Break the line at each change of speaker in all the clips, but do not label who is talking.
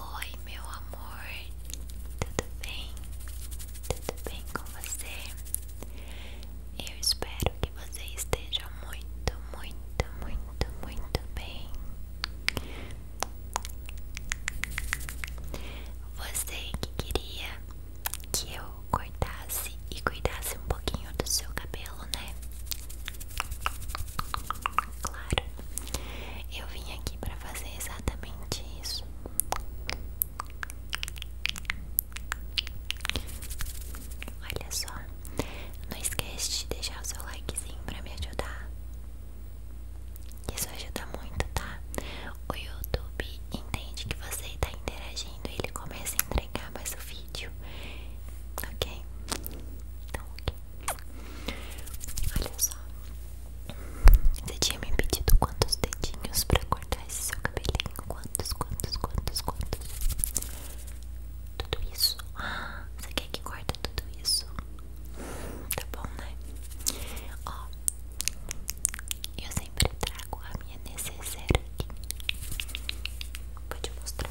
Oi, meu amor, tudo bem? Tudo bem com você? Eu espero que você esteja muito, muito, muito, muito bem. Você que queria que eu cortasse e cuidasse um pouquinho do seu cabelo, né? Claro, eu vim aqui para fazer exatamente isso. Olha só, não esquece de deixar o seu likezinho para me ajudar. Isso ajuda muito, tá? O YouTube entende que você está interagindo e ele começa a entregar mais o vídeo, ok? Então, ok. Olha só. Você tinha me pedido quantos dedinhos pra cortar esse seu cabelinho? Quantos, quantos, quantos, quantos? Tudo isso? Ah, você quer que corte tudo isso? Tá bom, né? Ó, eu sempre trago a minha necessaire aqui. Pode mostrar.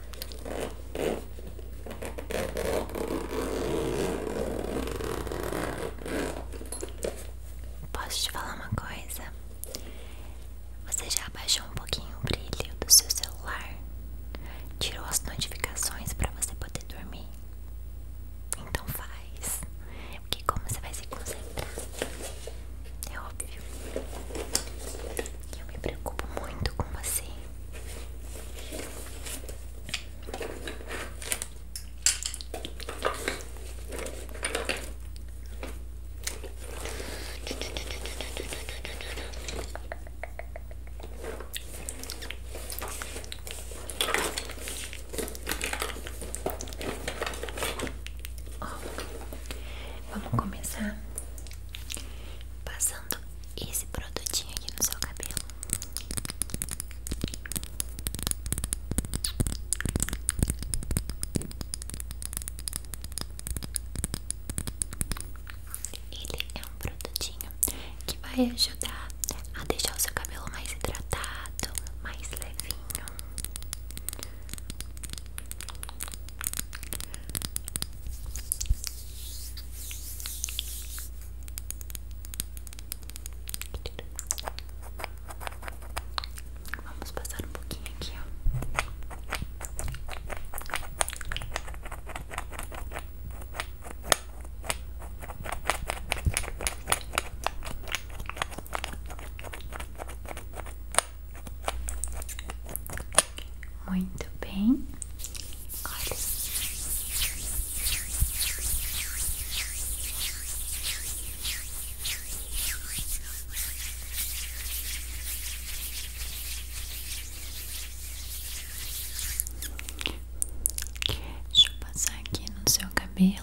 Posso te falar uma coisa? Você já abaixou um pouquinho o brilho do seu celular? Tirou as notificações para você poder dormir? Então faz, porque como você vai se concentrar é óbvio. Eu me preocupo muito com você. vamos começar Passando esse produtinho aqui no seu cabelo. Ele é um produtinho que vai ajudar a deixar o seu cabelo mais hidratado, mais levinho. Vamos passar um pouquinho aqui, ó. Muito bem. Olha. Deixa eu passar aqui no seu cabelo.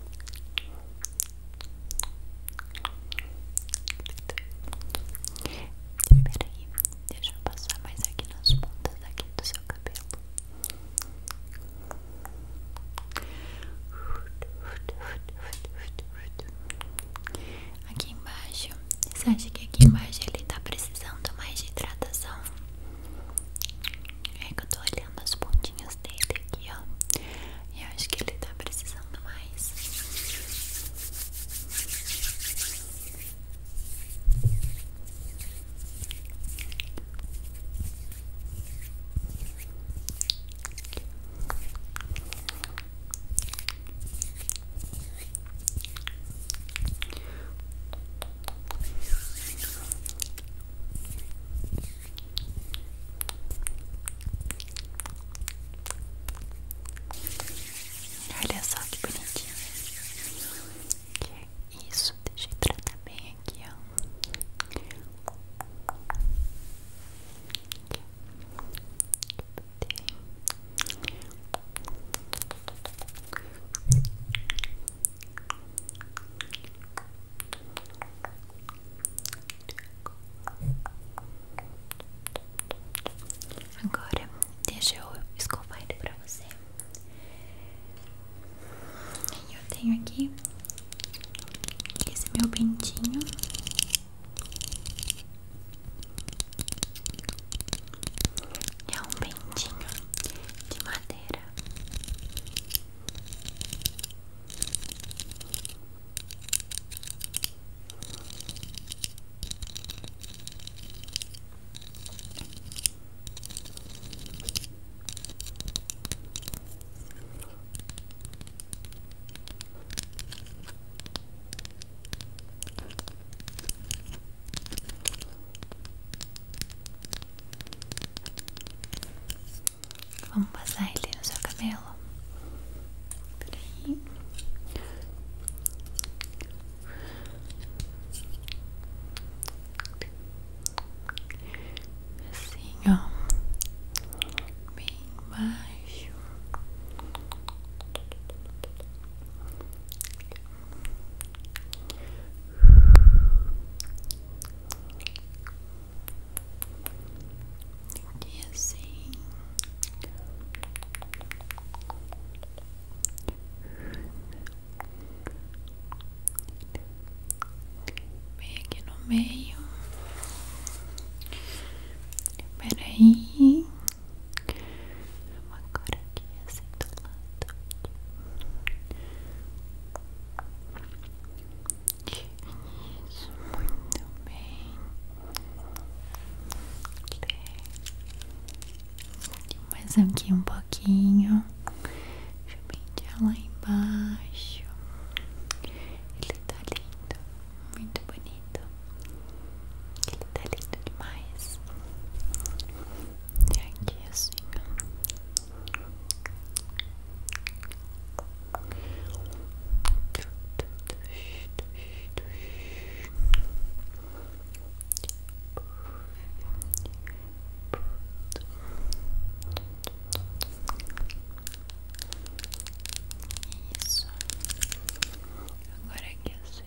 Peraí, deixa eu passar mais aqui nas pontas aqui do seu cabelo. Aqui embaixo, você acha que aqui embaixo ele tá precisando mais de hidratação? É que eu tô olhando umas pontinhas dele aqui, ó. E eu acho que ele está precisando mais. Olha só que bonitinho. Que é isso, deixa eu tratar bem aqui, ó. Agora deixa eu escovar ele pra você. eu tenho aqui esse meu pentinho é um bentinho de madeira. Vamos passar ele no seu cabelo. Peraí. Assim, ó. Bem baixo. E assim bem aqui no meio. Peraí, agora aqui assim do lado isso, muito bem mais aqui um pouquinho deixa eu lá embaixo ele tá lindo, muito bonito ele tá lindo demais e aqui assim isso agora aqui assim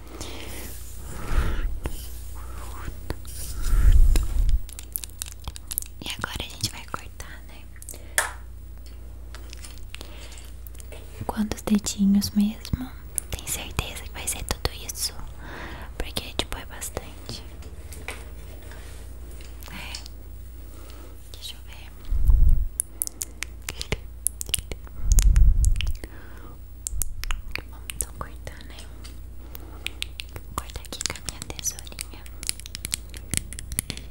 E agora a gente vai cortar, né? Quantos dedinhos mesmo? Tenho certeza que vai ser tudo isso? Porque, tipo, é bastante. É. Deixa eu ver. Vamos então cortar, né? Vou aqui com a minha tesourinha. Vamos cortar aqui,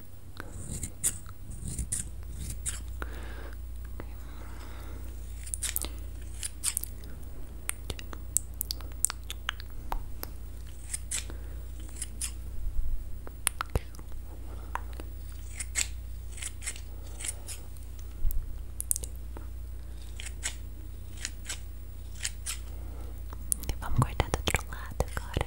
Vamos cortar do outro lado agora.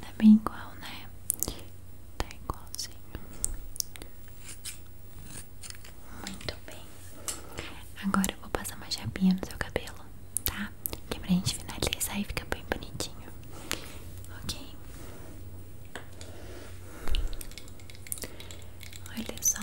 Tá bem igual, né? Tá igualzinho. Muito bem. Agora eu vou passar uma chapinha no seu cabelo, tá? Que é pra gente finalizar e fica bem bonitinho. Ok? Olha só.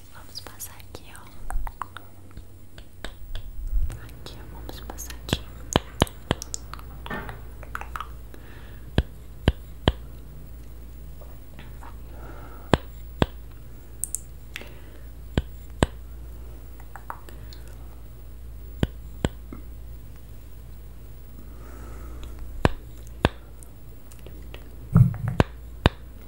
Vamos passar aqui, ó. Aqui, Vamos passar aqui.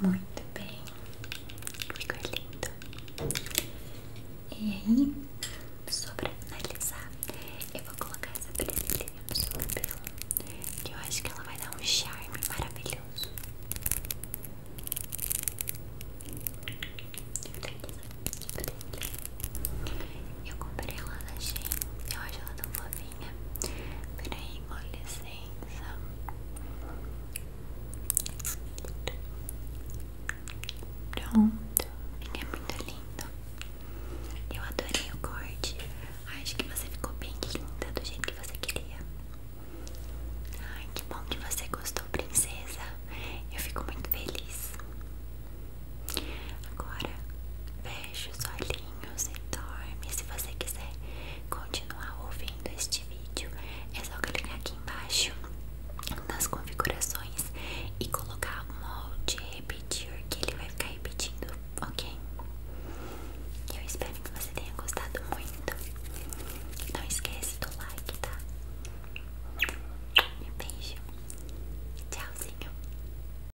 Muito bem, ficou lindo. E aí, só pra finalizar, eu vou colocar essa presilhinha no seu cabelo. Que eu acho que ela vai dar um charme maravilhoso. Eu comprei ela na Shein, eu acho ela tão fofa sozinha. Peraí, com licença. Pronto, é muito lindo. Eu adorei o corte. Acho que você ficou bem linda do jeito que você queria. Ai, que bom que você gostou, princesa. Eu fico muito feliz. Agora, fecha os olhos carinhos dorme, Se você quiser continuar ouvindo este vídeo, é só clicar aqui embaixo nas configurações e colocar molde repetir, que ele vai ficar repetindo, ok? Eu espero que você tenha gostado muito. Não esquece do like, tá? Um beijo. Tchauzinho.